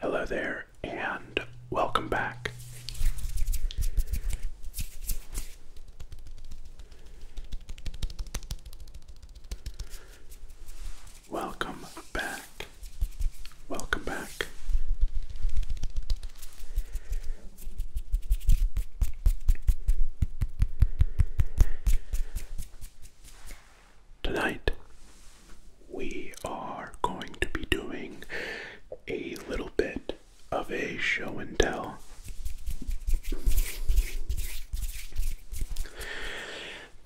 Hello there, and welcome back. Welcome back. Welcome back. Tonight, we are going to be doing a little bit of a show and tell.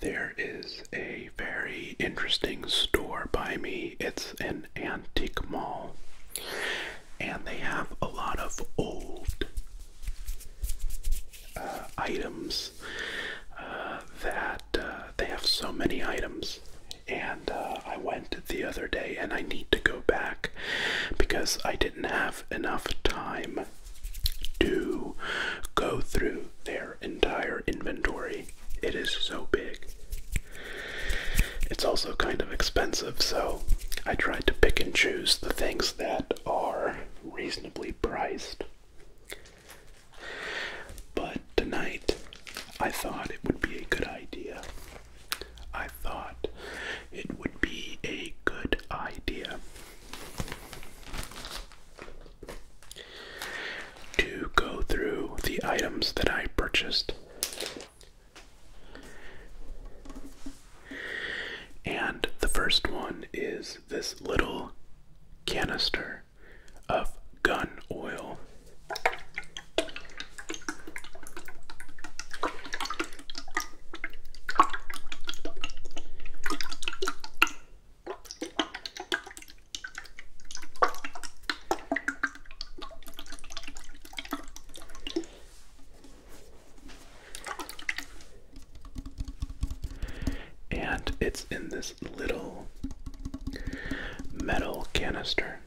There is a very interesting store by me. It's an antique mall and they have a lot of old uh, items uh, that uh, they have so many items. And I went the other day, and I need to go back because I didn't have enough time to go through their entire inventory. It is so big. It's also kind of expensive, so I tried to pick and choose the things that are reasonably priced. But tonight, I thought it would be a good idea. I thought it would be a good idea to go through the items that I purchased and the first one is this little canister of gun oil. And it's in this little metal canister.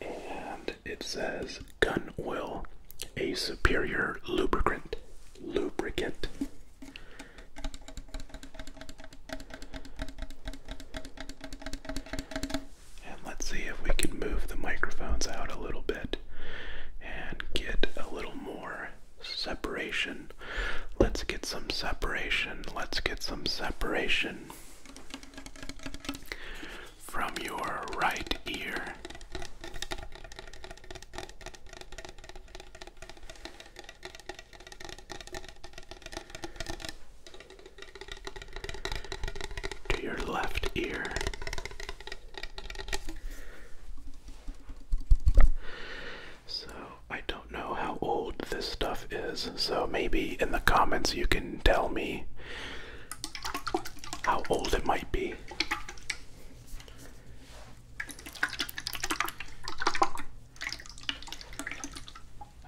And it says gun oil, a superior lubricant. Lubricant. And let's see if we can move the microphones out a little bit and get a little more separation. Let's get some separation. Let's get some separation from your right ear to your left ear. So, I don't know how old this stuff is, so maybe in the comments you can tell me how old it might be.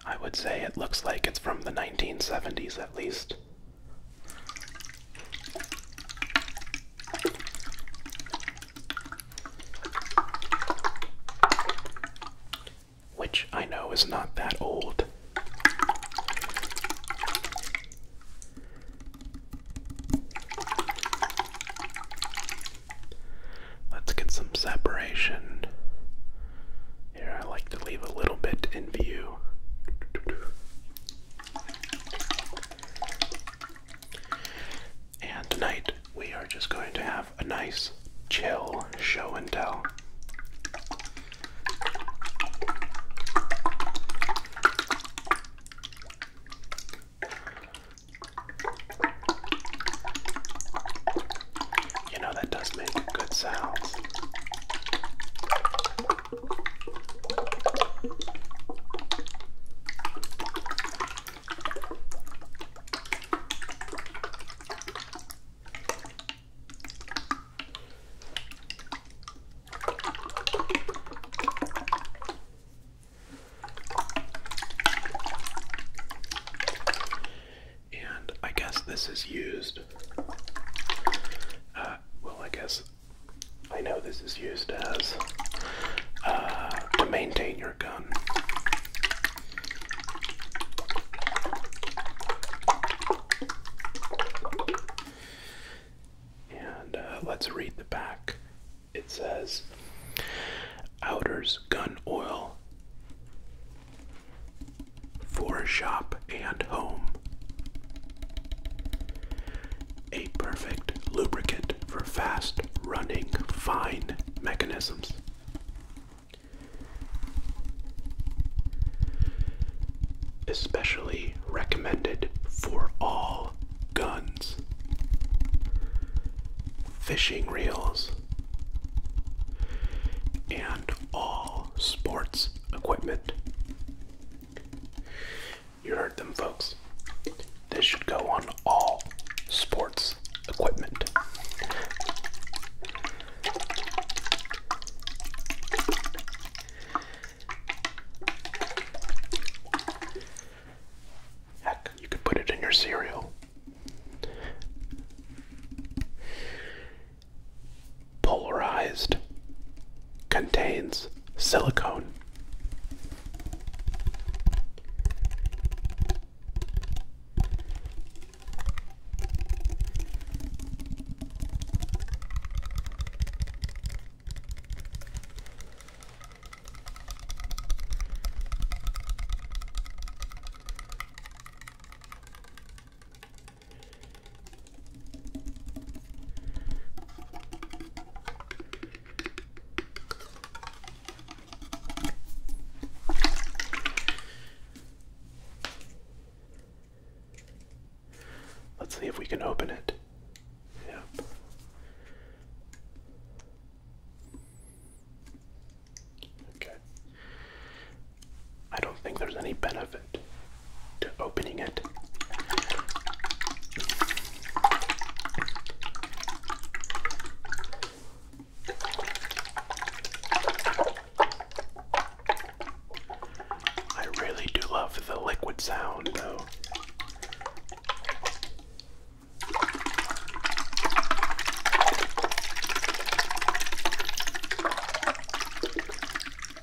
I would say it looks like it's from the 1970s at least. Which I know is not that old. Let's get some separation here, I like to leave a little bit in view. And tonight we are just going to have a nice, chill show and tell. You know, that does make good sounds. And I guess this is used. Uh, well, I guess I know this is used as uh, to maintain your gun. And uh, let's read the back. It says Outer's gun oil for shop and home. A perfect lubricant for fast running fine mechanisms. Especially recommended for all guns, fishing reels, and all sports equipment. You heard them, folks. This should go on all sports equipment. Heck, you could put it in your cereal polarized contains silicone. Let's see if we can open it. Yep. Okay. I don't think there's any benefit to opening it. I really do love the liquid sound, though.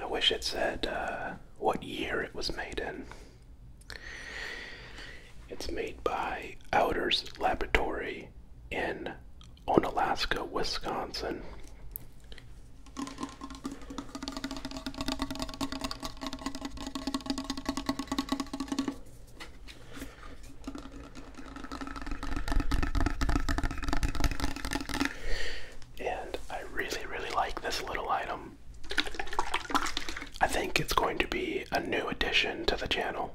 I wish it said uh, what year it was made in. It's made by Outers Laboratory in Onalaska, Wisconsin. And I really, really like this little item. I think it's going to be a new addition to the channel.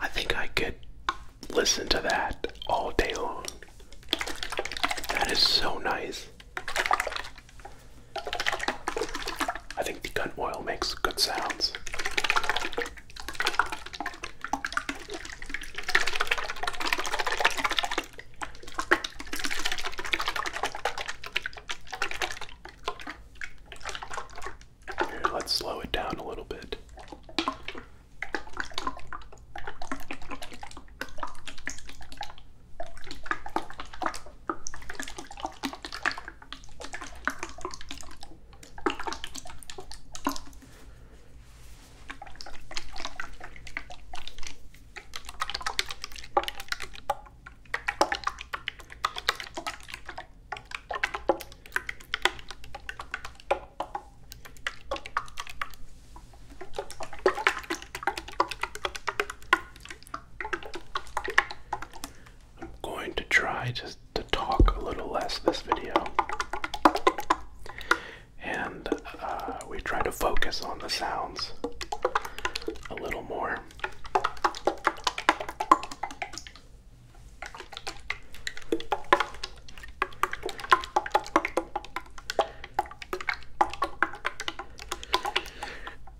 I think I could listen to that all day long. That is so nice. I think the gun oil makes good sounds let's slow it down a little bit. I'm going to try just to talk a little less this video. And uh, we try to focus on the sounds a little more.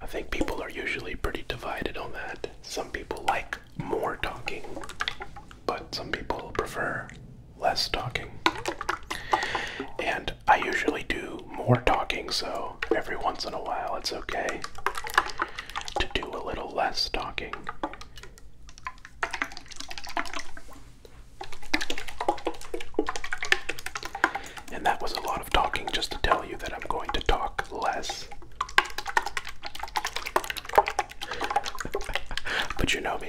I think people are usually pretty divided on that. Some people like more talking, but some people prefer less talking. And I usually do more talking, so every once in a while it's okay to do a little less talking. And that was a lot of talking just to tell you that I'm going to talk less. but you know me.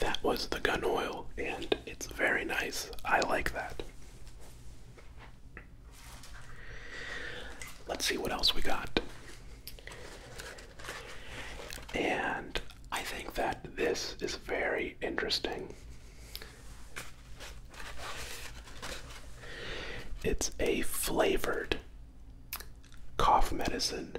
That was the gun oil, and it's very nice. I like that. Let's see what else we got. And I think that this is very interesting. It's a flavored cough medicine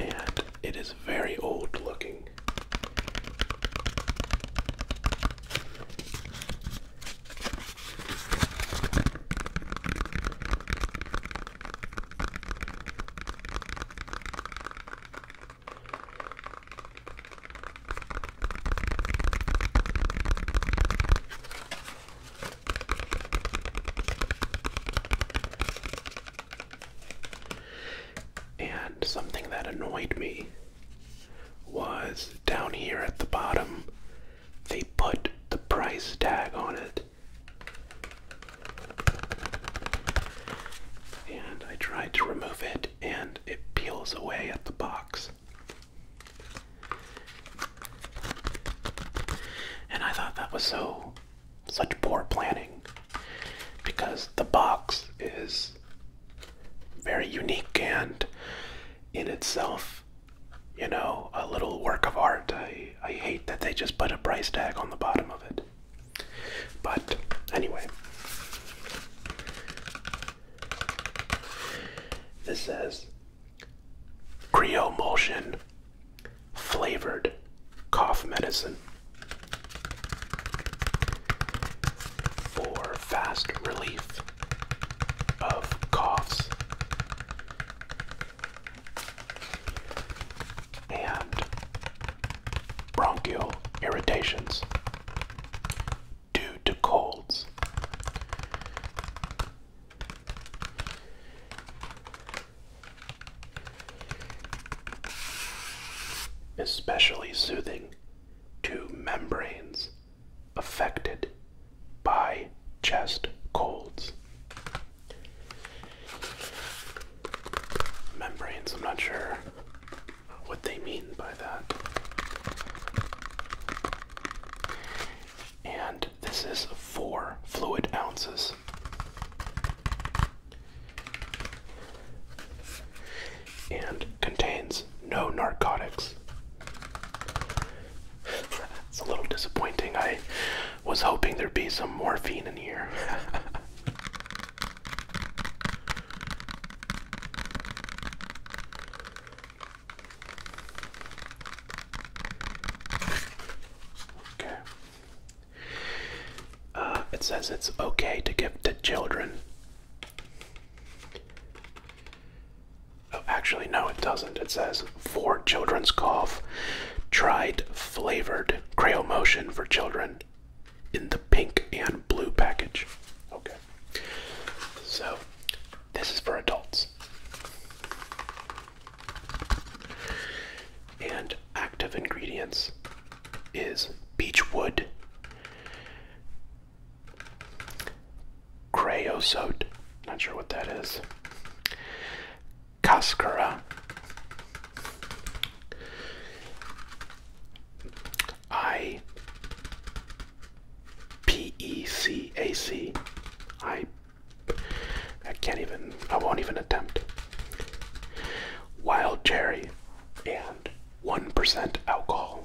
and it is very old looking. And something that annoyed me was down here at the bottom, they put the price tag on it. And I tried to remove it, and it peels away at the box. And I thought that was so such poor planning because the box is very unique and in itself, you know, a little work of art. I, I hate that they just put a price tag on the bottom of it. But anyway, this says Creomulsion flavored cough medicine for fast relief of coughs. And bronchial irritations due to colds. Especially soothing to membranes affected by chest colds. Membranes, I'm not sure what they mean by that. And this is four fluid ounces. And contains no narcotics. it's a little disappointing. I was hoping there'd be some morphine in here. Okay. Uh, it says it's okay to give to children. Oh, actually, no, it doesn't. It says for children's cough, tried flavored Creo Motion for children, in the pink and blue package. Okay. So, this is for adults. And active ingredients is beechwood, creosote, not sure what that is, cascara, I P E C A C. I I can't even I won't even attempt. Wild cherry and 1% alcohol.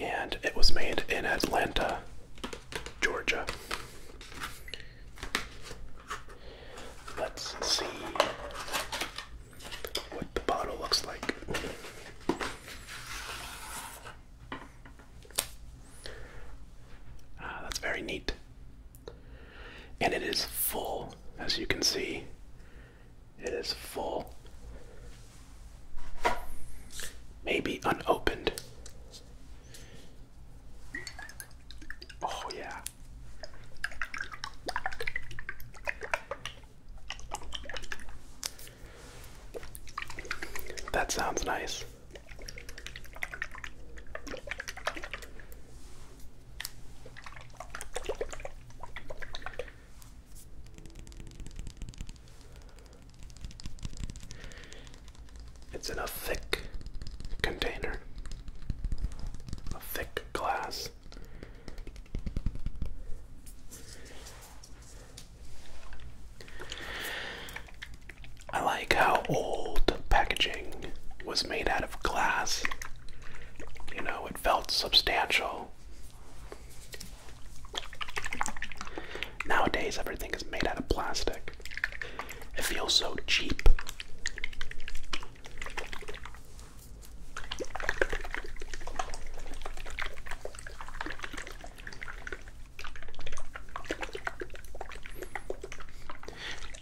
And it was made in Atlanta, Georgia. Let's see what the bottle looks like. Ah, that's very neat. And it is full, as you can see. It is full. Maybe unopened. Oh, yeah. That sounds nice. It's in a thick container, a thick glass. I like how old packaging was made out of glass. You know, it felt substantial. Nowadays, everything is made out of plastic. It feels so cheap.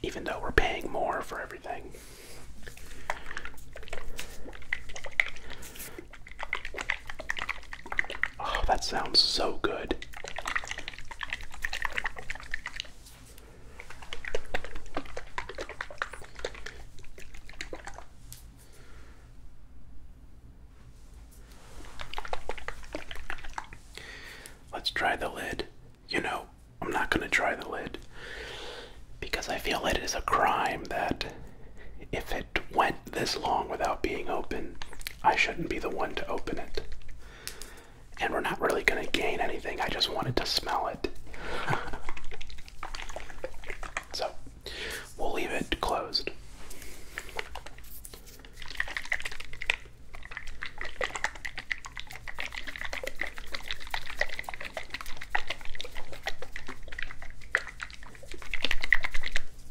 Even though we're paying more for everything. Oh, that sounds so good. Let's try the lid. You know, I'm not going to try the lid because I feel it is a crime that if it went this long without being open, I shouldn't be the one to open it. And we're not really going to gain anything. I just wanted to smell it. so we'll leave it closed.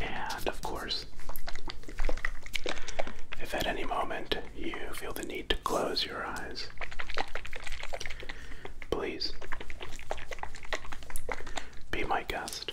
And of course, if at any moment you feel the need to close your eyes, please be my guest.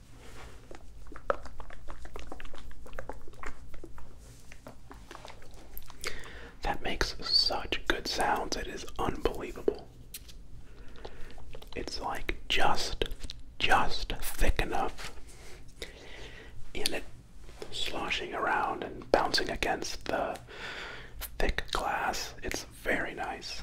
That makes such good sounds, it is unbelievable. It's like just, just thick enough, and it sloshing around and bouncing against the thick glass. It's very nice.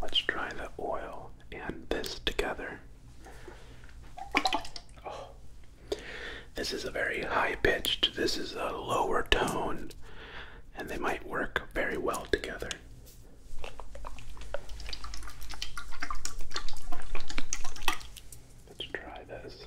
Let's try the oil and this together. Oh. This is a very high pitched, this is a lower tone, and they might work very well together. Let's try this.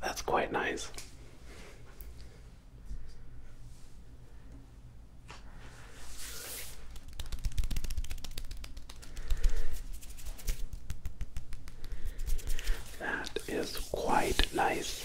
That's quite nice. That is quite nice.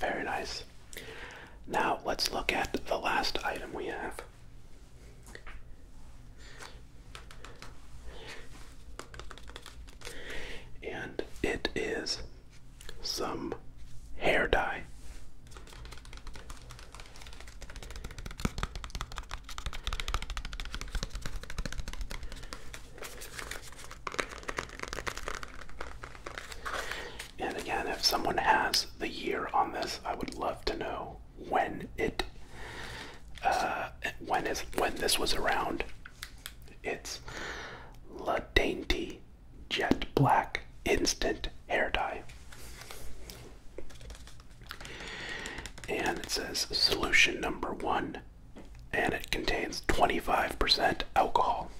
Very nice. Now let's look at the last item we have. And it is some hair dye. And again, if someone has the year on this, I would love to know when it uh, when is when this was around. It's La Dainty jet black instant hair dye. And it says solution number one, and it contains 25% alcohol.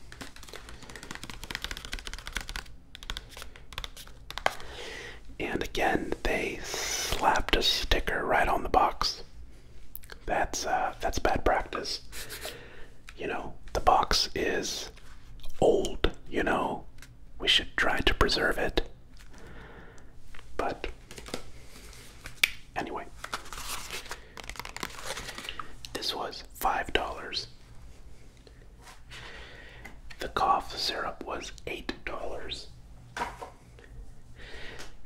And again, they slapped a sticker right on the box. That's uh, that's bad practice you know, the box is old, you know. We should try to preserve it. But anyway, this was $5. The cough syrup was $8.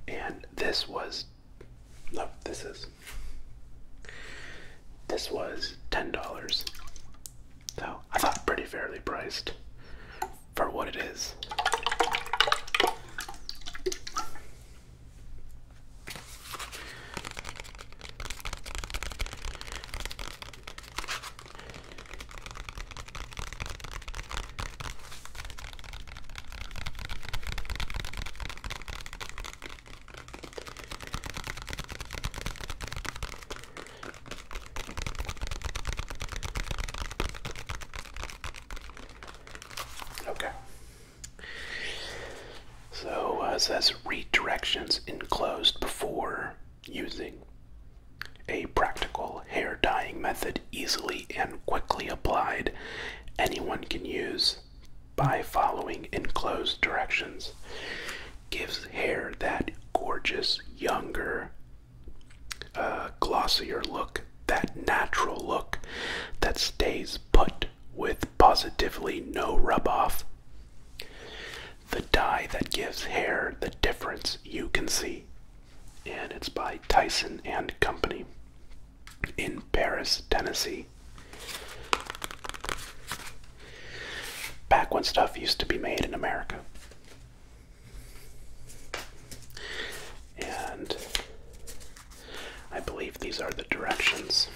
And this was, no, this is this was $10. So I thought pretty fairly priced for what it is. Okay. So uh, it says read enclosed before using. A practical hair dyeing method easily and quickly applied. Anyone can use by following enclosed directions gives hair that gorgeous, younger, uh, glossier look, that natural look that stays put with positively no rub off. The dye that gives hair the difference you can see. And it's by Tyson and Company in Paris, Tennessee. Back when stuff used to be made in America. And I believe these are the directions.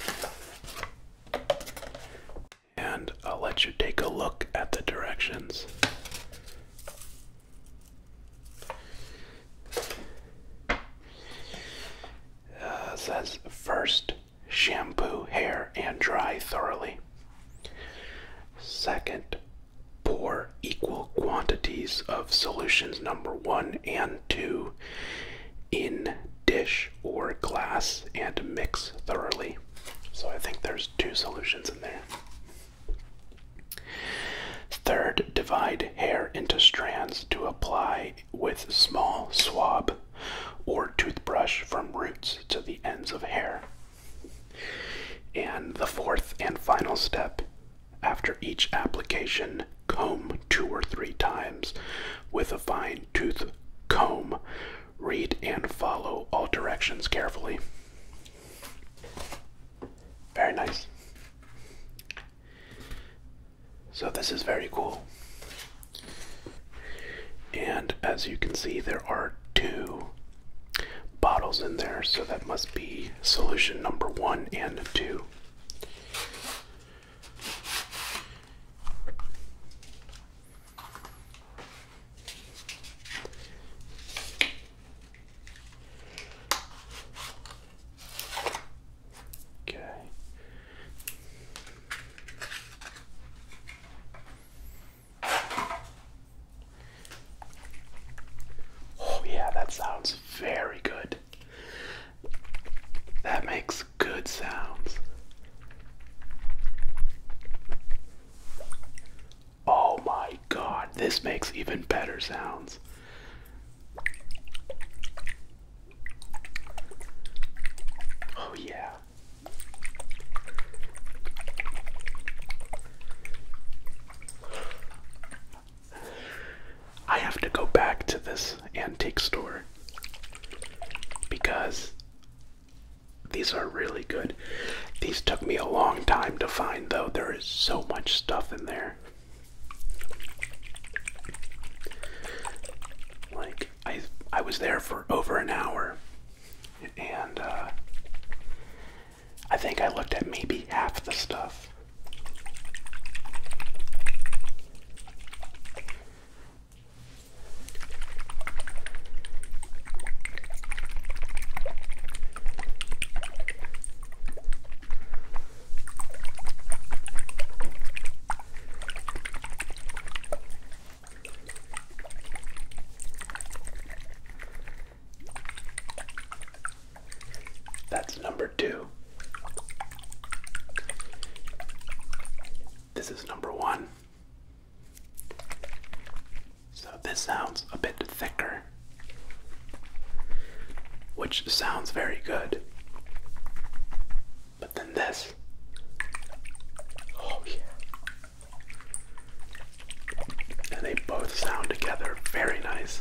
And I'll let you take a look at the directions. Uh, says first shampoo hair and dry thoroughly. Second, pour equal quantities of solutions number one and two in dish or glass and mix thoroughly. So I think there's two solutions in there. Third, divide hair into strands to apply with small swab or toothbrush from roots to the ends of hair. And the fourth and final step after each application, comb two or three times with a fine tooth comb. Read and follow all directions carefully. Very nice. So, this is very cool. And as you can see, there are two bottles in there, so that must be solution number one and two. Okay, Oh, yeah, that sounds very good. That makes good sounds. Oh my god, this makes even better sounds. Oh, yeah. I have to go back to this antique store because these are really good. These took me a long time to find, though. There is so much stuff in there. Like, I I was there for over an hour, and uh, I think I looked at maybe half the stuff. That's number two. This is number one. So this sounds a bit thicker, which sounds very good. But then this. Oh, yeah. And they both sound together very nice.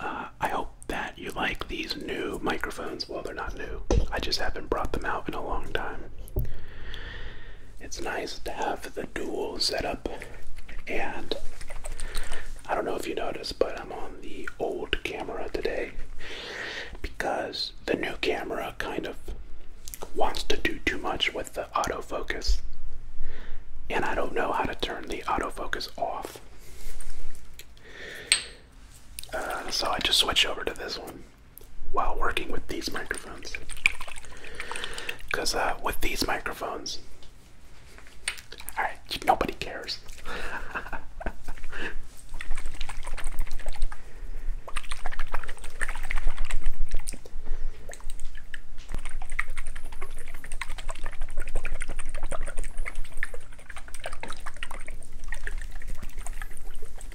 Uh, I hope that you like these new microphones. Well, they're not new. I just haven't brought them out in a long time. It's nice to have the dual setup, and I don't know if you noticed, but I'm on the old camera today because the new camera kind of wants to do too much with the autofocus, and I don't know how to turn the autofocus off. Uh, so I just switch over to this one while working with these microphones. Because uh, with these microphones, alright, nobody cares.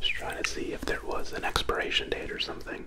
Just trying to see if there was an expiration date or something.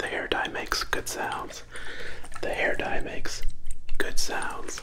The hair dye makes good sounds. The hair dye makes good sounds.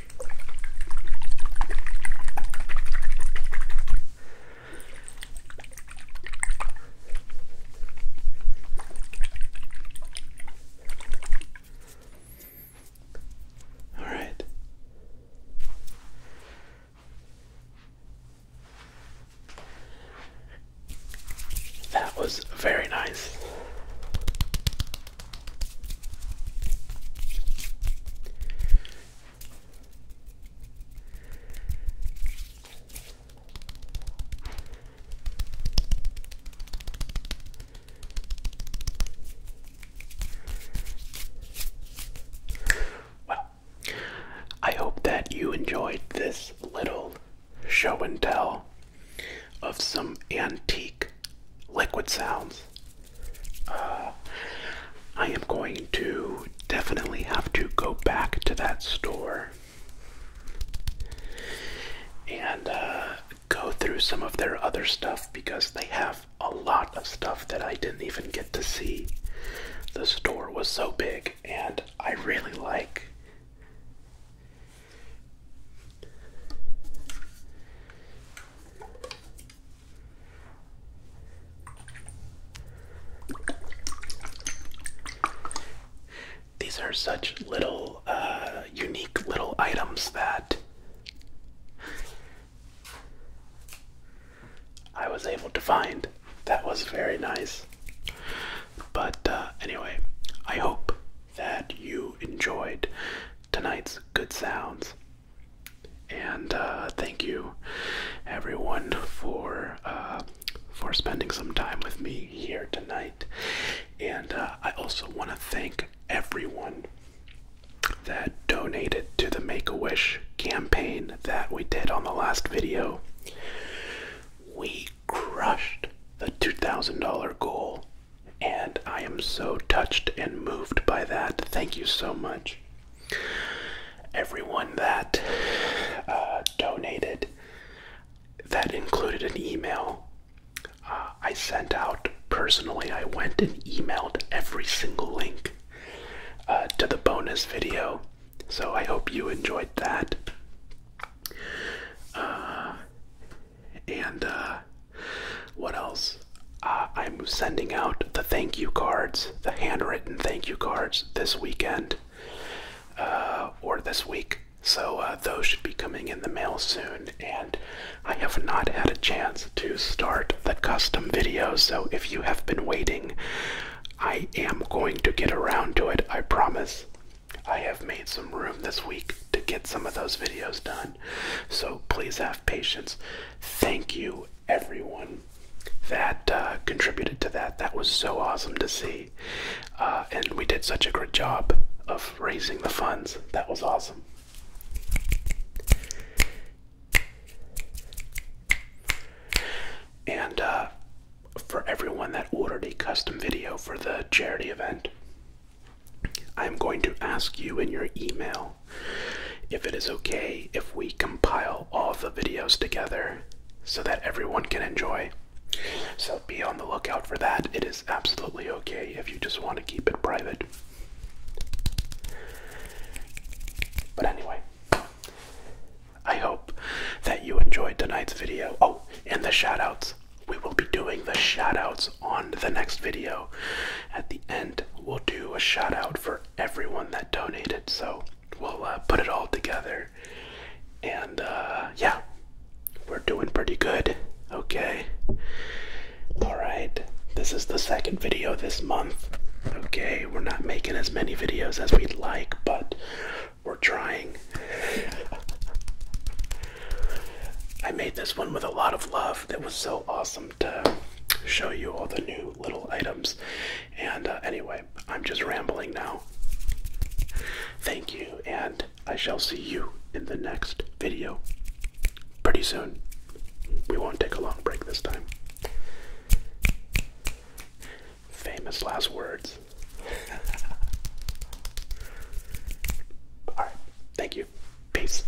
All right. That was very nice. Well, I hope that you enjoyed this little show and tell of some antique liquid sounds. Uh, I am going to definitely have to go back to that store and uh, go through some of their other stuff because they have a lot of stuff that I didn't even get to see. The store was so big, and I really like. These are such little, uh, unique little items that I was able to find. That was very nice. But uh, anyway, I hope that you enjoyed tonight's good sounds. And uh, thank you, everyone, for uh, for spending some time with me here tonight. And uh, I also want to thank everyone that donated to the Make a Wish campaign that we did on the last video. We crushed the $2,000 goal, and I am so touched and moved by that. Thank you so much. Everyone that uh, donated, that included an email, uh, I sent out personally. I went and emailed every single link uh, to the bonus video. So I hope you enjoyed that. and what else? Uh, I'm sending out the thank you cards, the handwritten thank you cards this weekend uh, or this week. So uh, those should be coming in the mail soon. And I have not had a chance to start the custom video. So if you have been waiting, I am going to get around to it, I promise. I have made some room this week to get some of those videos done. So please have patience. Thank you, everyone, that uh, contributed to that. That was so awesome to see. Uh, and we did such a great job of raising the funds. That was awesome. And uh, for everyone that ordered a custom video for the charity event, I'm going to ask you in your email if it is okay if we compile all the videos together so that everyone can enjoy. So be on the lookout for that. It is absolutely okay if you just want to keep it private. But anyway, I hope that you enjoyed tonight's video. Oh, and the shoutouts. We will be doing the shoutouts on the next video. At the end, we'll do a shout out for everyone that donated. So we'll uh, put it all together. And uh, yeah, we're doing pretty good. Okay. Alright, this is the second video this month. Okay, we're not making as many videos as we'd like, but we're trying. I made this one with a lot of love. That was so awesome to show you all the new little items. And uh, anyway, I'm just rambling now. Thank you, and I shall see you in the next video pretty soon. We won't take a long break this time. Famous last words. All right. Thank you. Peace.